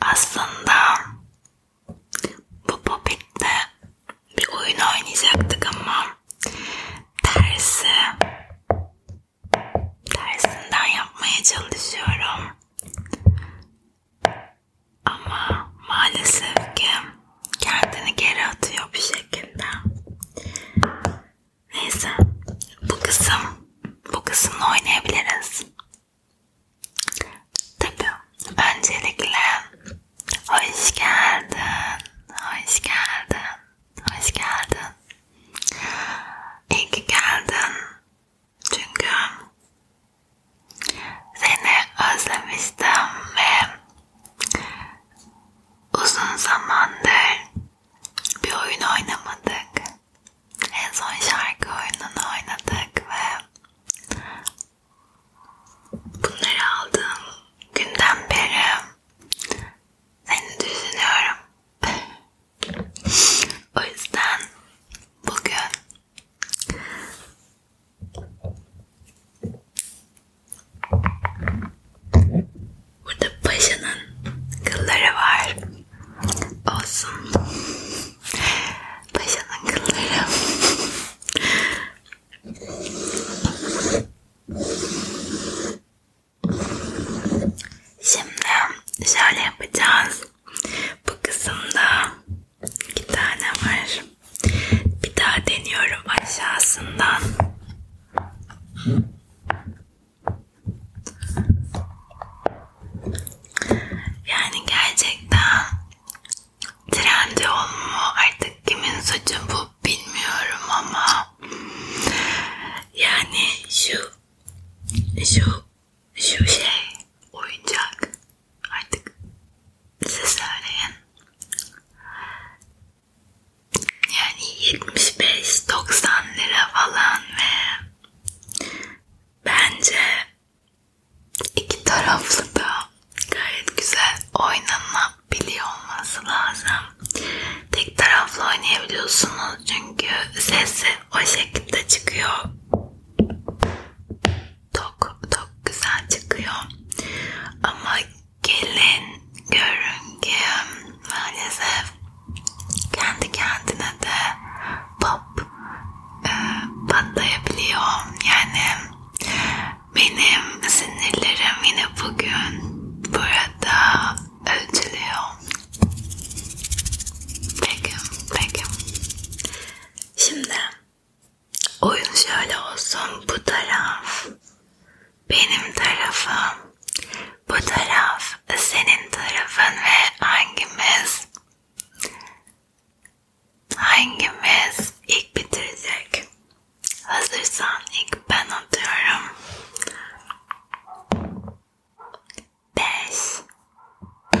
Aslında bu popette bir oyun oynayacaktık ama tersi tersinden yapmaya çalışıyorum. Ama maalesef ki kendini geri atıyor bir şekilde. Neyse bu kısım bu kısımla oynayabiliriz. Tabi öncelikle hoş geldin, hoş geldin, hoş geldin. İyi ki geldin. Çünkü seni özlemiştim ve uzun zamandır bir oyun oynamadık. En son şarkı oyununu oynadık ve bunları aldığım günden beri seni düşünüyorum. o yüzden bugün Burada paşanın kılları var. Olsun. Paşanın kılları. Şimdi şöyle yapacağız. Bu kısımda İki tane var. Bir daha deniyorum aşağısından. Yani gerçekten trendi olma artık kimin suçu bu bilmiyorum ama yani şu şu şu şey oyuncak Artık size söyleyin. Yani 75-90 lira falan ve bence iki taraflı da gayet güzel oynanabiliyor olması lazım. Tek taraflı oynayabiliyorsunuz çünkü sesi o şekilde çıkıyor tok tok güzel çıkıyor ama gelin görünge maalesef kendi kendine de pop e, patlayabiliyor yani benim sinirlerim yine bugün burada ölçülüyor peki peki şimdi Oyun şöyle olsun. Bu taraf benim tarafım. Bu taraf senin tarafın ve hangimiz hangimiz ilk bitirecek? Hazırsan ilk ben atıyorum. 5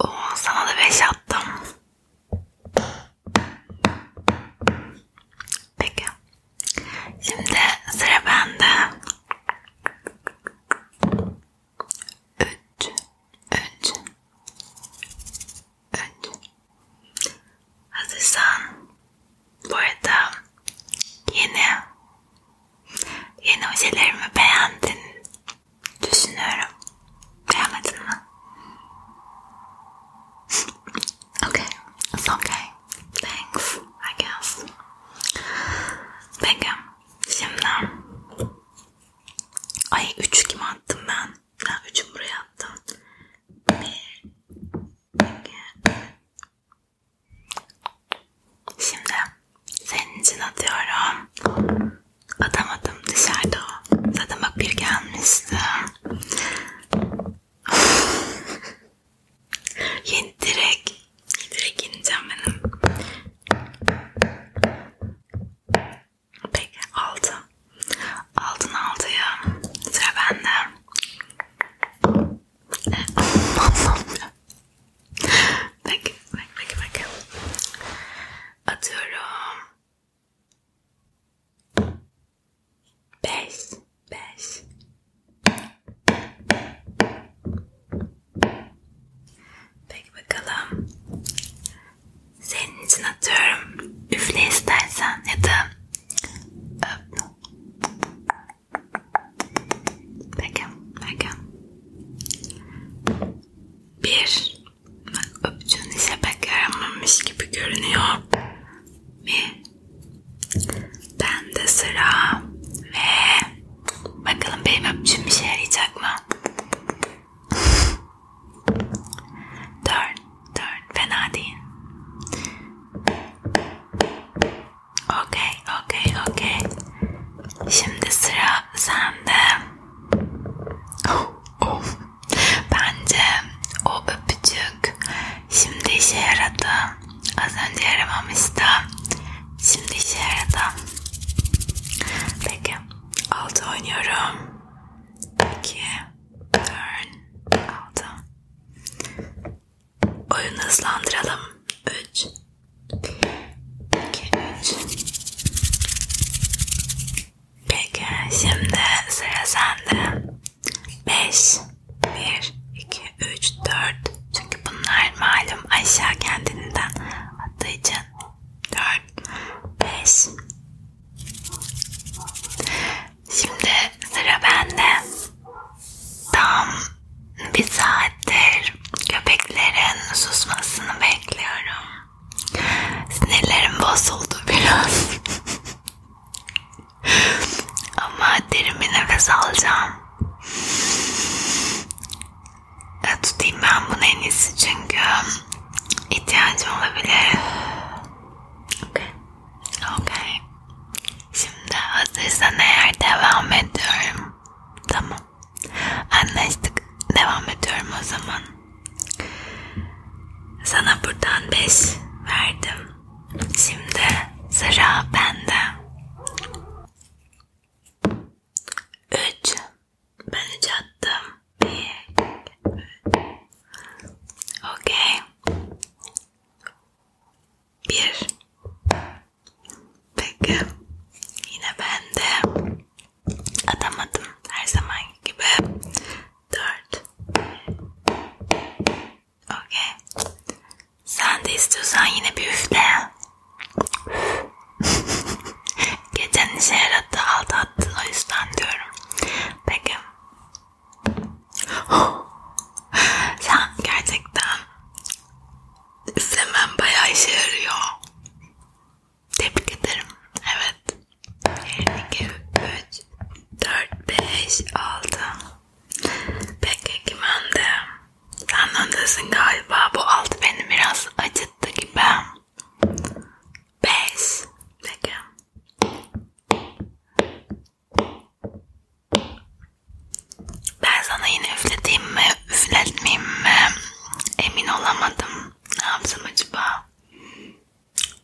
Oo, sana da 5 attım. Peki. Şimdi sıra bende. 3 3 3 Hazırsan bu arada yeni yeni ojelerimi beğendin Düşünüyorum. Beğenmedin mi? okay. It's okay. Thanks. I guess. Peki. Şimdi. Ay 3 kim attım ben? Ben 3'ü buraya attım. 1 2 Şimdi. Senin için atıyorum. Atamadım dışarıda o. Zaten bak bir gelmişti. Yeni direkt. Direkt ineceğim benim. Peki altı. Altın altıya. Sıra bende. E, Allah'ım Peki, peki, peki. Atıyorum. 5 5 Peki bakalım. Senin için atıyorum. Üfle istersen ya da öp. Peki, peki. Bir, öptüğün ise pek yaramamış gibi görünüyor. Bir, ben de sıra ve bakalım benim öptüğüm işe yarayacak mı? Dört, dört, fena değil. Okey, okey, okey. Şimdi sıra sen de of oh, oh. bence o öpücük şimdi işe yaradı az önce yaramamıştı şimdi işe yaradı peki altı oynuyorum 2 4 6 oyunu hızlandıralım 3 İki, üç. Peki şimdi sıra sende. Beş, bir, iki, üç, dört. Çünkü bunlar malum aşağı kendinden attığı için. Dört, beş. Şimdi sıra bende. Tam bir saattir köpeklerin susmasını bekliyorum. Sinirlerim bozuldu biraz. Ama derin bir nefes alacağım. E, tutayım ben bunu en iyisi çünkü ihtiyacım olabilir. Okay. Okay. Şimdi hazırsan eğer devam ediyorum. Tamam. Anlaştık. Devam ediyorum o zaman. Sana buradan 5 verdim. Şimdi sıra bende. 3 Ben 3 attım. 1 Okey. 1 Peki. Yine ben de atamadım. Her zaman gibi. Dört. Okay. Sen de istiyorsan yine bir üfle. Geçen işe yarattı, alt attın o yüzden diyorum. Peki. Sen gerçekten izlemem bayağı işe yarıyor. Tebrik ederim. Evet. 1, 2, 3, 4, 5, 6. Peki kim önde? Sen öndesin galiba. Bu 6 beni biraz acıttı gibi. 5. Peki. Ben sana yine üfleteyim mi, üfletmeyeyim mi? Emin olamadım. Ne yapsam acaba?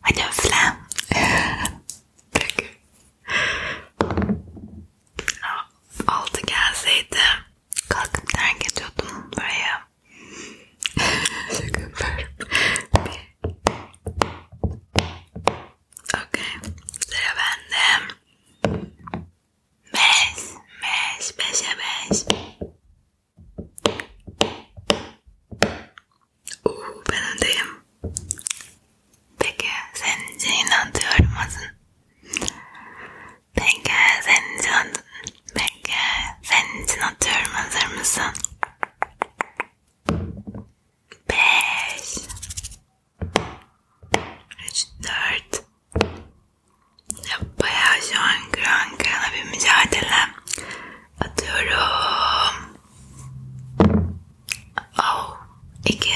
Hadi üfle. Peki. Altı gelseydi kalkıp terk ediyordum buraya. Şaka yapıyorum. Okey. Sıra bende. Beş, beş, beşe beş. Uuu ben öndeyim. Peki senin için inanıyorum adın. Peki senin için adın. Peki senin için atıyorum hazır mısın? Beş. 3, 4 Bayağı şu an kıran kırana bir mücadele atıyorum. Oh, 2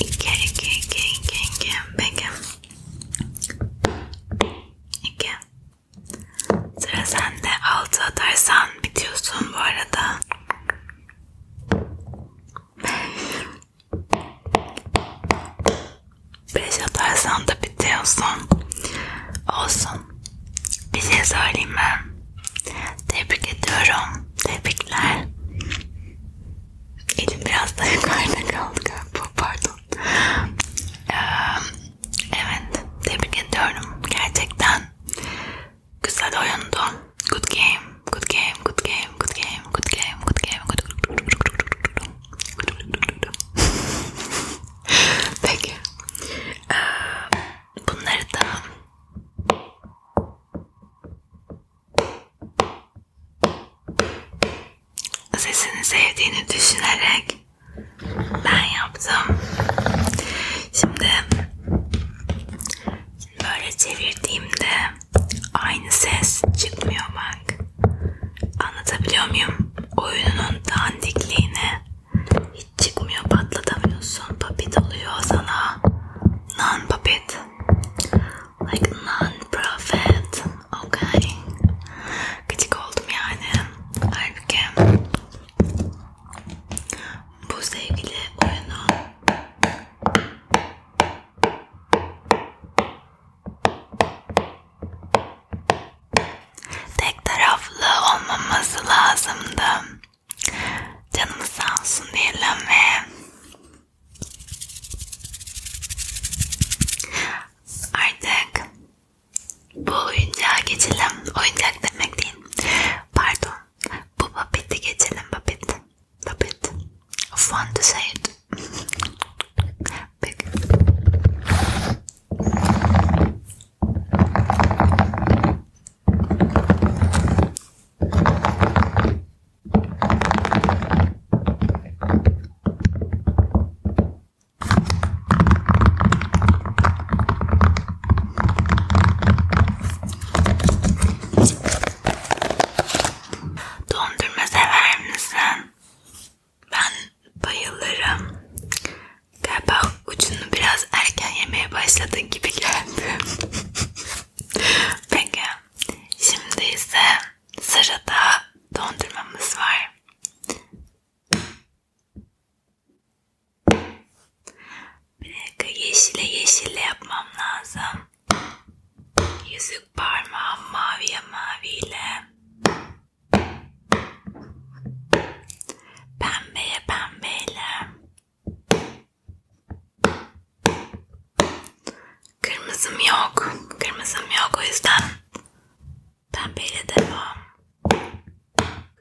2, 2, 2, 2, 2, peki 2 Sıra sende 6 atarsan bitiyorsun bu arada. Beş atarsan da bitiyorsun. Olsun. Bir şey söyleyeyim mi? Tebrik ediyorum. Tebrikler. Elim biraz daha yukarıda kaldı galiba. Pardon. Ee, evet. Tebrik ediyorum. Gerçekten Güzel oyundu. Good game, good game, good game, good game, good game, good game, good game. Peki. Ee, bunları da sesini sevdiğini düşünerek ben yaptım. Şimdi Şimdi böyle çevirdiğimde aynı ses çıkmıyor bak. Anlatabiliyor muyum? Oyunun dandikliğini hiç çıkmıyor patlatamıyorsun. Papit oluyor sana. Non papit. Like non profit. Okay. Gıcık oldum yani. Halbuki bu sevgili oyunun Tek taraflı olmaması lazımdı. Canımız sağ olsun diyelim ve artık bu oyuncağa geçelim. Oyuncak demek değil. Pardon. Bu papeti geçelim papet. Papet. Fun to say it. Dondurma sever misin? Ben bayılırım. Galiba ucunu biraz erken yemeye başladığın gibi geldi. Peki. Şimdi ise sırada dondurmamız var. Bir dakika yeşile yeşille yapmam lazım. Yüzük parmağım maviye maviyle. Pembeye pembeyle. Kırmızım yok. Kırmızım yok o yüzden pembeyle devam.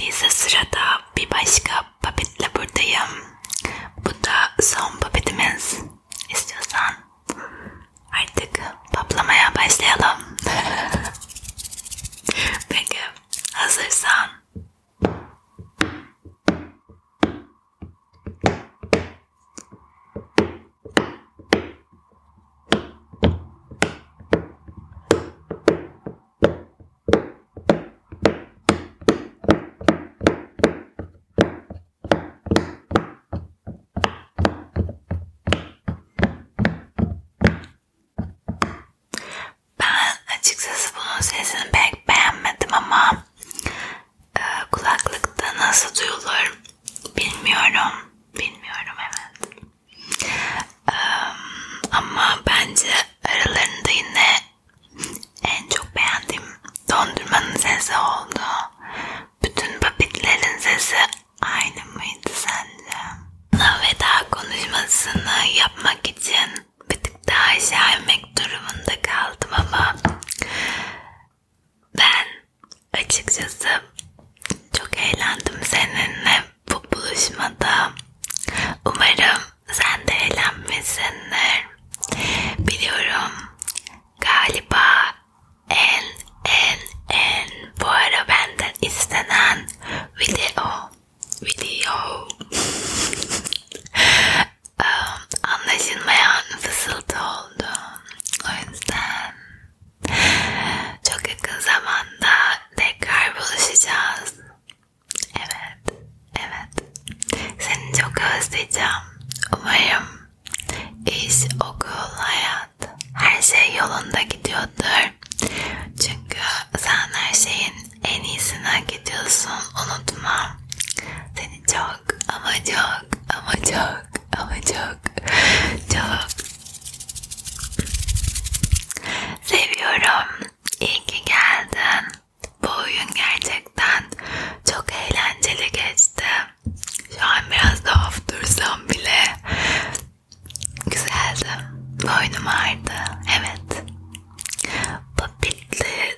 Neyse sırada bir başka papetle buradayım. Bu da son papetimiz. İstiyorsan Artık paplamaya başlayalım. Peki hazırsan. Ben açıkçası bunun sesini pek beğenmedim ama e, kulaklıkta nasıl duyulur bilmiyorum. Bilmiyorum evet. E, ama bence aralarında yine en çok beğendiğim dondurmanın sesi oldu bütün papitlerin sesi aynı mıydı sence? Bana veda konuşmasını yapmak için bir tık daha aşağı inmek durumunda kaldım ama ben açıkçası çok eğlendim seninle bu buluşmada. Umarım sen de eğlenmişsindir. Biliyorum galiba en en en bu ara benden istenen video video anlaşılmayan fısıltı oldu o yüzden çok yakın zamanda tekrar buluşacağız evet evet seni çok özleyeceğim umarım iş, okul, hayat her şey yolunda gidiyordur. Çünkü sen her şeyin en iyisini hak ediyorsun. Unutma. Seni çok ama çok ama çok ama çok çok seviyorum. İyi ki geldin. Bu oyun gerçekten çok eğlenceli geçti. Şu an biraz daha dursam bile güzeldi. Boynum ağrıdı. Evet. Puppet'li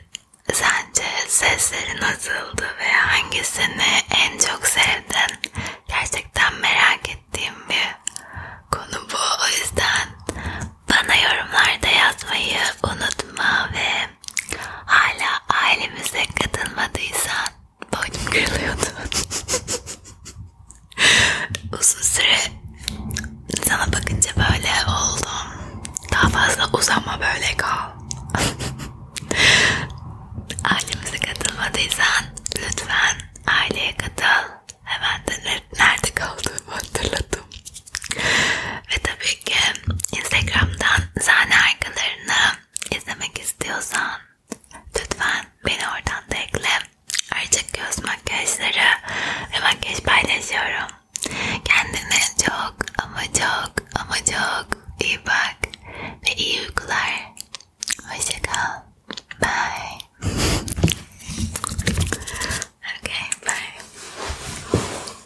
sence sesleri nasıldı ve hangisini en çok sevdin? Gerçekten merak ettiğim bir konu bu. O yüzden bana yorumlarda yazmayı unutma ve sen hala ailemize katılmadıysan boynum kırılıyordu. Uzun süre sana bakınca böyle oldum. Daha fazla uzama böyle kal. Ailemize katılmadıysan lütfen aileye katıl. Hemen de nerede kaldığımı hatırladım. Ve tabii ki Instagram'dan sahne arkalarını izlemek istiyorsan lütfen beni oradan da ekle. Ayrıca göz makyajları ve makyaj paylaşıyorum. Kendine çok ama çok ama çok iyi bak ve iyi uykular. Hoşçakal. Bye. okay, bye.